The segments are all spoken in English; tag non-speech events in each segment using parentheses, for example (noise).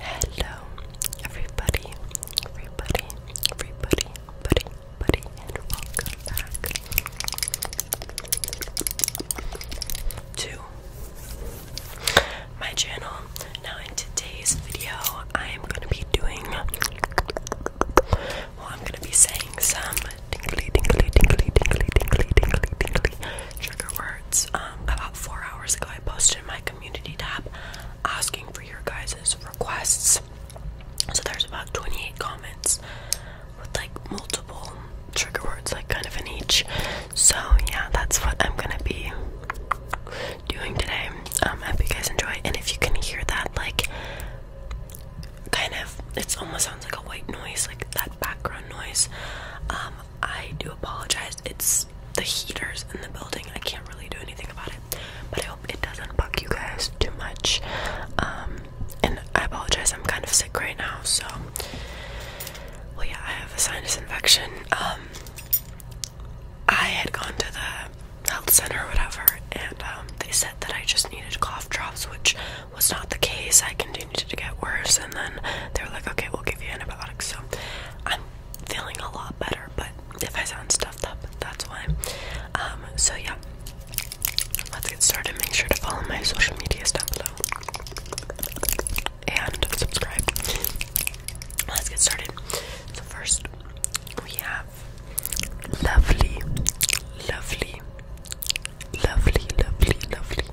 Hello, everybody, everybody, everybody, buddy, buddy, and welcome back to my channel. Now, in today's video, I am going to be doing, well, I'm going to be saying some tingly, tingly, tingly, tingly, tingly, tingly, tingly trigger words. Um, about four hours ago. I posted in my community tab asking for your guys' requests. So there's about 28 comments with like multiple trigger words, like kind of in each. So yeah, that's what I'm gonna be doing today. Um, I hope you guys enjoy, and if you can hear that, like kind of, it almost sounds like a white noise, like that background noise. Um, I do apologize. It's the heaters in the building. I can't really do anything about it. But I hope it doesn't bug you guys too much. Um, and I apologize. I'm kind of sick right now. So, yeah, I have a sinus infection. Um, I had gone to the health center or whatever, and um, they said that I just needed cough drops, which was not the case. I can do continued to get worse and then they were like okay we'll give you antibiotics so i'm feeling a lot better but if i sound stuffed up that's why um so yeah let's get started make sure to follow my social medias down below and subscribe let's get started so first we have lovely lovely lovely lovely lovely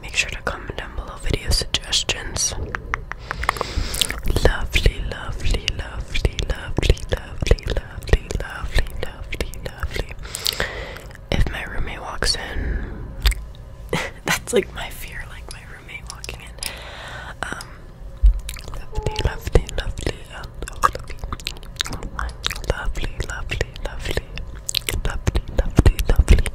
make sure to comment down below video suggestions. Lovely, lovely, lovely, lovely, lovely, lovely, lovely, lovely, lovely. If my roommate walks in, that's like my fear, like my roommate walking in. Um, lovely, lovely, lovely, lovely, lovely, lovely, lovely, lovely, lovely, lovely.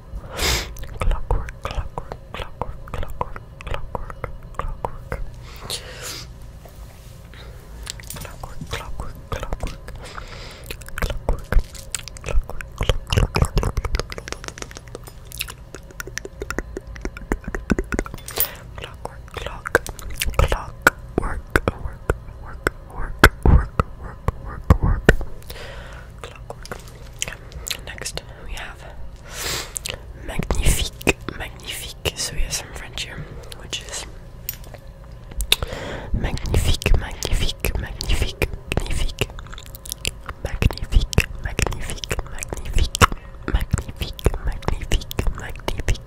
Clockwork, clockwork, clockwork, clockwork, clockwork, clockwork. Clockwork, clockwork, clockwork. Clockwork, clockwork, clockwork. Clockwork, clock, clockwork, work, work, work, work, work, work, work. Next we have Magnifique. Magnifique. So we have some French here, which is Magnifique, magnifique, magnifique, magnifique, magnifique, magnifique, magnifique, magnifique, magnifique, magnifique,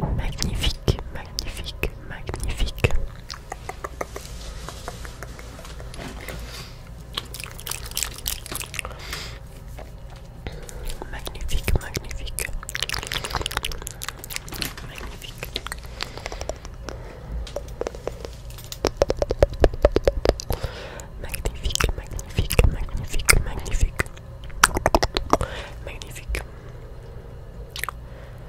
magnifique, magnifique, magnifique. Magnifique, magnifique. Magnifique. Magnifique, magnifique, magnifique, magnifique. Magnifique.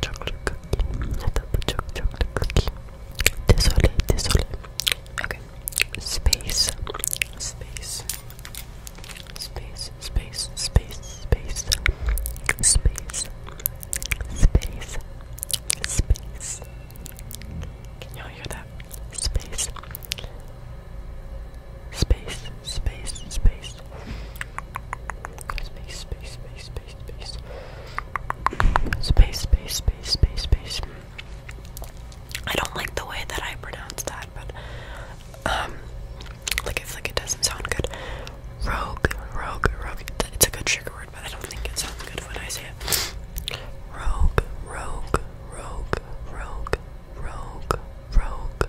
chocolate, chocolate cookie. I thought chocolate, chocolate cookie. Désolé, désolé. Okay. Space. Space. Space, space, space, space. Space. Space. Space. Can y'all hear that? Space. Space, space, space. Space, space, space, space, space, space. Space, space, space, space, space. I don't like the way that I pronounce that, but um, like it's like it doesn't sound good. Rogue, rogue, rogue. It's a good trigger word, but I don't think it sounds good when I say it. Rogue, rogue, rogue, rogue, rogue, rogue,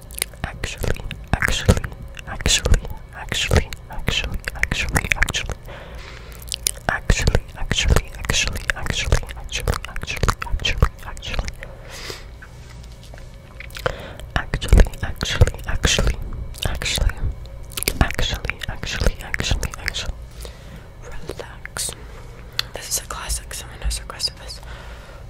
actually, actually, actually, actually, actually, actually, actually, actually, actually, actually, actually, actually, actually, actually, actually. Actually, actually, actually, actually, actually, actually, actually, actually, relax. This is a classic. Someone has requested this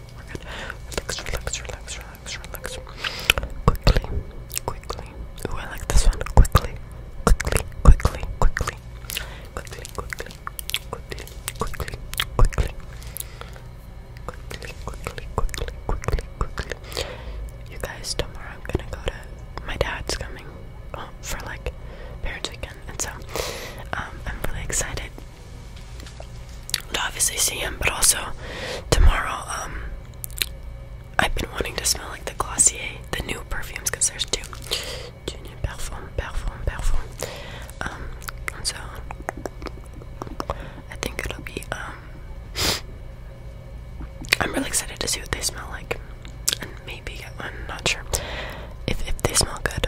okay, we're good. Relax, relax, relax, relax, relax. Quickly, quickly. Ooh, I like this one. Quickly, quickly, quickly, quickly. Quickly, quickly, quickly, quickly, quickly. Quickly, quickly, quickly, quickly, quickly. You guys, tomorrow I'm gonna go to my dad's coming oh, for like parents weekend, and so um, I'm really excited to obviously see him, but also tomorrow. Um, I've been wanting to smell like the Glossier, the new perfumes, there's two. Parfum, parfum, parfum. Um, so I think it'll be. Um, I'm really excited to see what they smell like, and maybe get one. Not sure if if they smell good.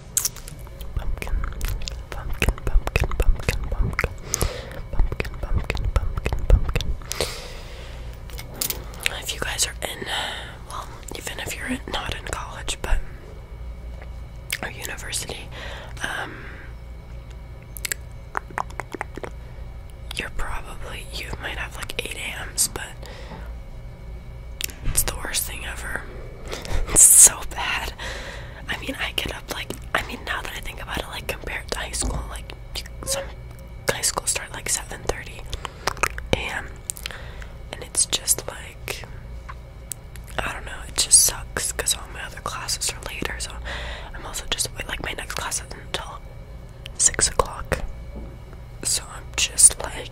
Pumpkin, pumpkin, pumpkin, pumpkin, pumpkin, pumpkin, pumpkin, pumpkin, pumpkin. If you guys are in, well, even if you're not in college, but or university, um, you're probably you might have like eight AMs, but it's the worst thing ever. (laughs) it's so bad. I mean, I get up like, I mean, now that I think about it, like compared to high school, like some high school start like 7:30 a.m. and it's just like, I don't know, it just sucks because all my other classes are later. So I'm also just like my next class isn't until six o'clock. So I'm just like,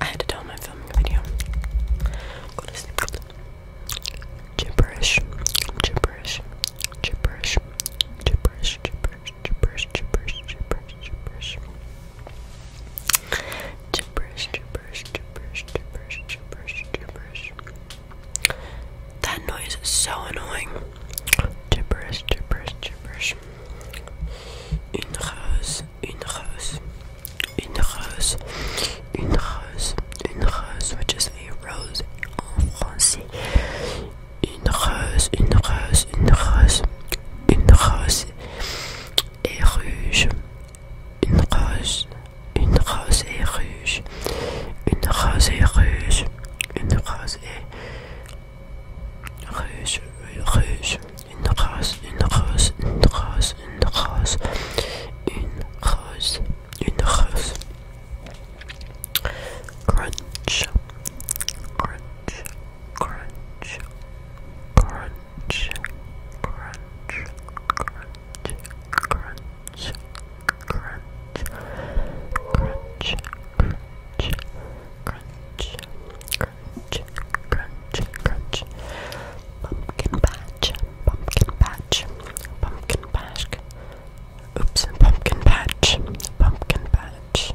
I had to tell him I'm filming to video. Gibberish. Gibberish. Gibberish. Gibberish. Gibberish. Gibberish. Gibberish. Gibberish. Gibberish. Gibberish, gibberish, gibberish, gibberish, gibberish, gibberish. That noise is so annoying. Gibberish, gibberish, gibberish. Une rose, une rose, une rose, une rose, une rose, which is a rose in French. Une rose, une rose, une rose, une rose est rouge, Une rose, une rose et ruge, une rose et ruge, une rose et ruge, ruge, une rose, une rose, une rose, une rose, une rose, une rose. Crunch, crunch, crunch, crunch crunch, crunch, crunch, crunch, crunch, crunch, crunch, crunch, crunch, crunch, crunch, pumpkin patch, pumpkin patch, pumpkin patch, oops, pumpkin patch, pumpkin patch.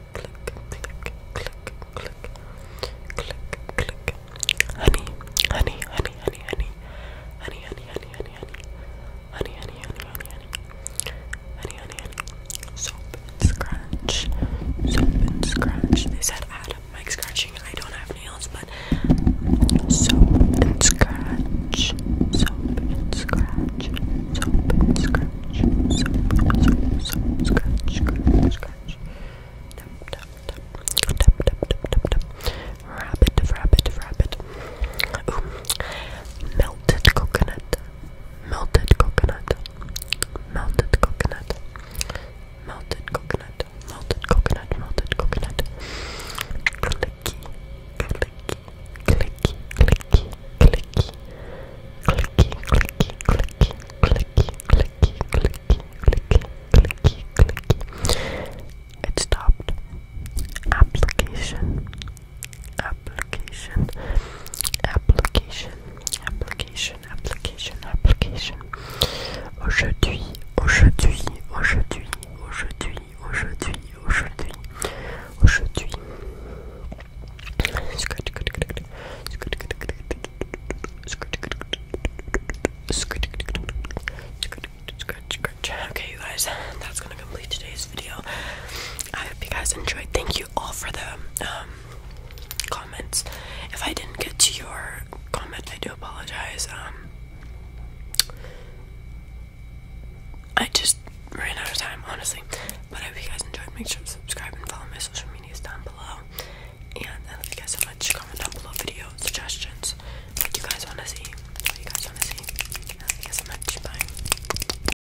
click, click, click, click, click, click. Honey, honey, honey, honey, honey, honey, honey, honey, honey, honey, honey, honey, honey, honey, honey, honey, honey. Soap and scratch, soap and scratch. They said add mic scratching. I don't have nails, but soap and scratch, soap and scratch, soap and scratch scratch, scratch, scratch, scratch. Tap, tap, tap, tap, tap, tap, tap, tap. Rabbit, rabbit, rabbit. Ooh. Melted coconut, melted coconut, melted coconut, melted coconut, melted coconut, melted coconut. Clicky, clicky, clicky, clicky, clicky, clicky, clicky, clicky, clicky, clicky, clicky, clicky, clicky, clicky. It stopped. Application, application, application, application, application, application. Aujourd'hui, aujourd'hui, aujourd'hui, aujourd'hui. Okay, you guys, that's gonna complete today's video. I hope you guys enjoyed. Thank you all for the comments. If I didn't get to your comment, I do apologize. I just ran out of time, honestly. But I hope you guys enjoyed. Make sure to subscribe and follow my social medias down below. And thank you guys so much. Comment down below video suggestions. What you guys want to see. What you guys want to see. thank you guys so much. Bye.